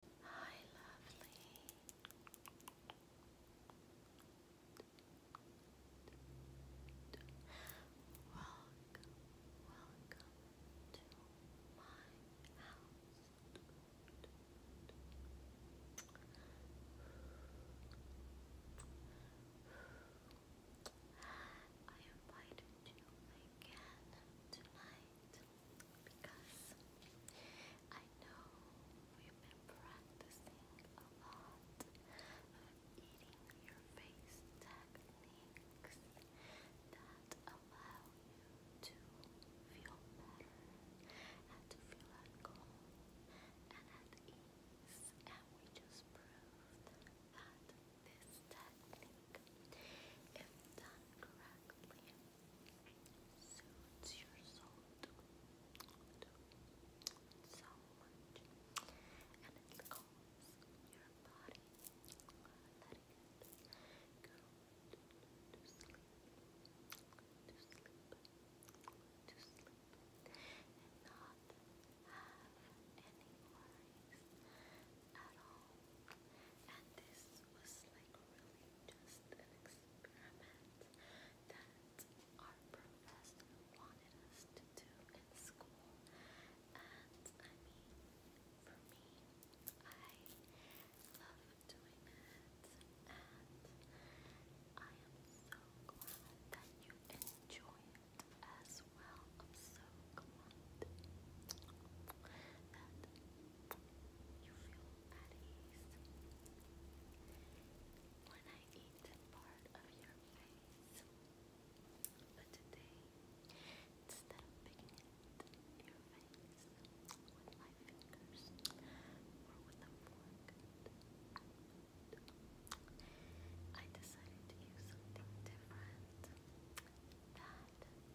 Hi, lovely. Welcome, welcome to my house. I invited you again tonight because I know we've been practicing a lot of eating your face techniques that allow you to feel better and to feel at calm and at ease, and we just proved that this technique, if done correctly, soothes your soul and it calms your body, letting it go to sleep, to sleep, to sleep, and not have any worries, at all. And this was like really just an experiment that our professor wanted us to do in school. And for me, I love doing it. And I am so glad that you enjoy it as well. so glad that you When I eat part of your face, but today, instead of picking at your face with my fingers or with a fork, I decided to use something different that the professor told me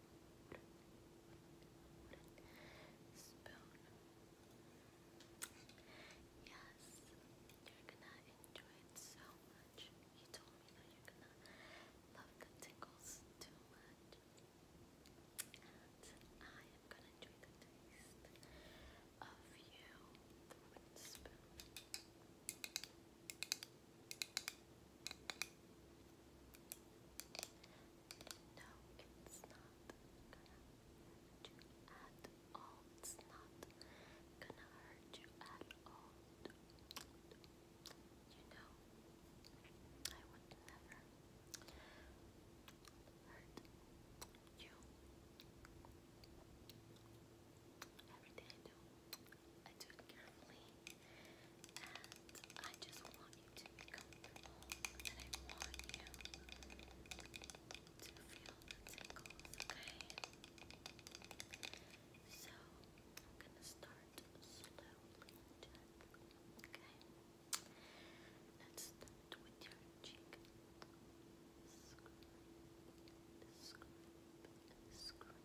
spoon. Yes, you're gonna enjoy it so much. You told me that you're gonna love the tingles too much. And I am gonna enjoy the taste of you no, it's not gonna hurt you at all. It's not gonna hurt you at all. You know, I would never hurt you. Every day do. I do it carefully. And I just want you to be comfortable. And I want you to feel the tingles, okay? So, I'm gonna start slowly okay? Let's start with your cheek. Scrape, scrape, scrape,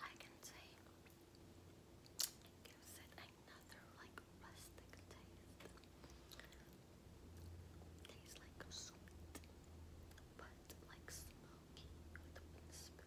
I can say it gives it another like rustic taste. Tastes like sweet, but like smoky with a spoon.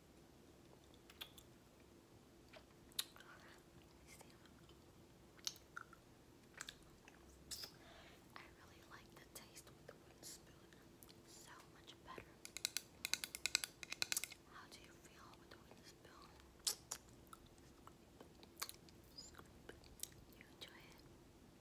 I really like the taste with the wooden spoon so much better. How do you feel with the wooden spoon? You enjoy it?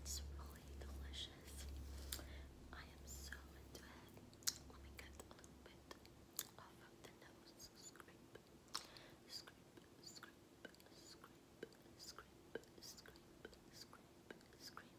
It's really delicious. I am so into it. Let me get a little bit of the nose. Scrape, scrape, scrape, scrape, scrape, scrape, scrape, scrape.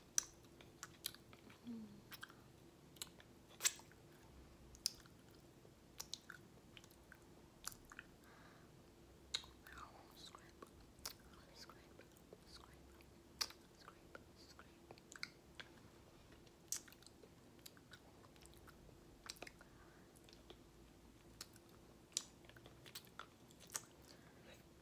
Now scrape, scrape, scrape, scrape, scrape.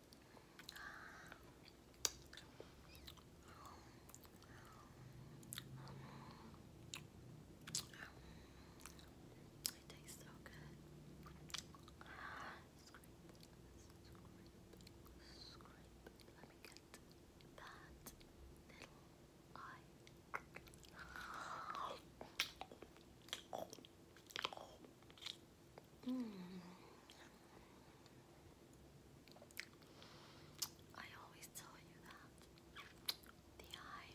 It tastes so good. Let me get that little eye. Mm. I always tell you that the eye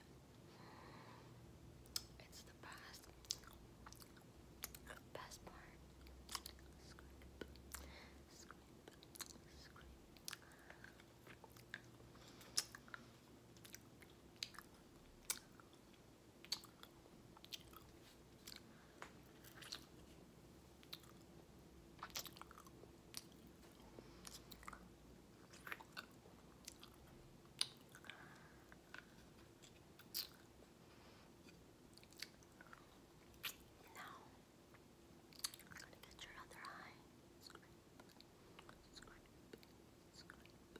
it's the best best part. Scrape, scrape, scrape. Scrape, now, I'm going to get your other eye. Scrape, scrape, scrape,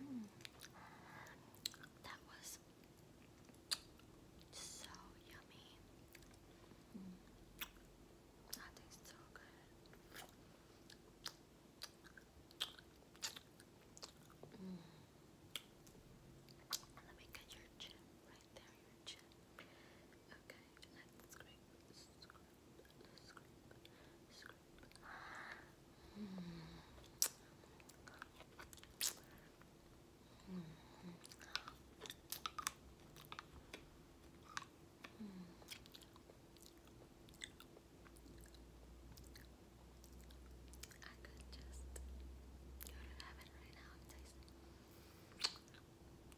Um, that was so yummy. That tastes so good. Let me get your chin right there, your chin. Okay, let's I could just go to heaven right now and taste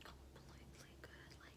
completely good, like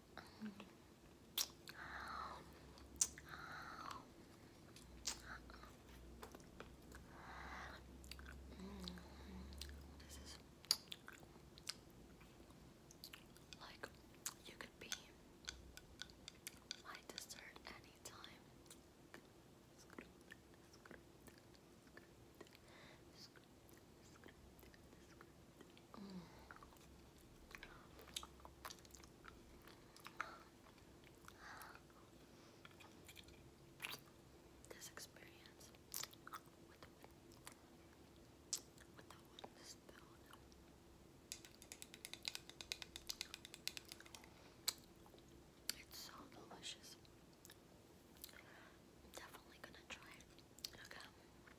This is like you could be my dessert anytime. Scoop, this experience with the, with the wooden spoon it's so delicious. I'm definitely gonna try it. Okay.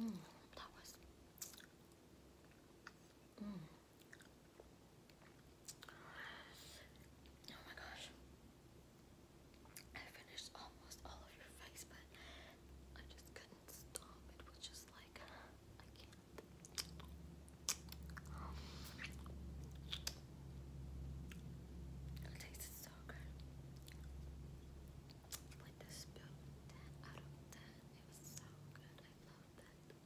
Mm, that was. Mm. Oh my gosh. I finished almost all of your face, but I just couldn't stop. It was just like, I can't. it tasted so good. Like this 10 out of 10. It was so good. I love that.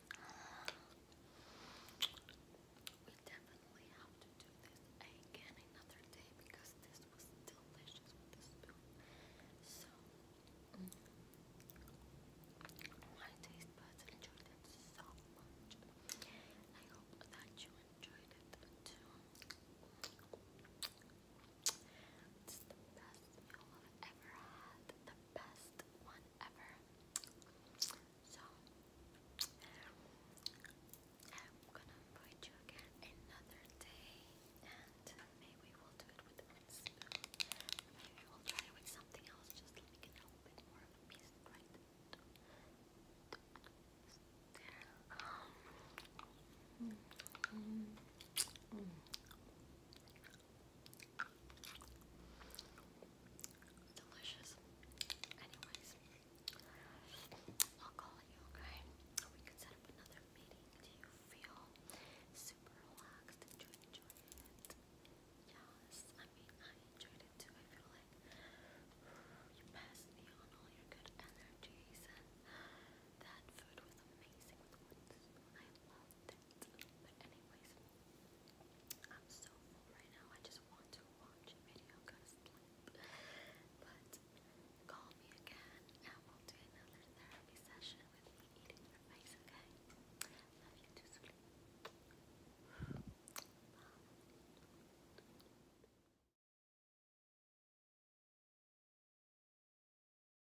We definitely have to do this again another day because this was delicious So, mm, my taste buds enjoyed it so much. I hope that you enjoyed it too. It's the best meal I've ever had best one ever. So, I'm gonna invite you again another day, and maybe we'll do it with Maybe we'll try with something else, just like a little bit more of a piece, right? Um, mm, mm, mm. Delicious. Anyways, I'll call you, okay? We could set up another meeting. Do you feel super relaxed? Did you enjoy it? Yes, I mean, I enjoyed it too. I feel like you passed me on all your good energies, and that food was amazing with the I minutes. But anyways, I'm so full right now. I just want to watch a video, But call me again and we'll another therapy session with me eating your face, okay? Love you too,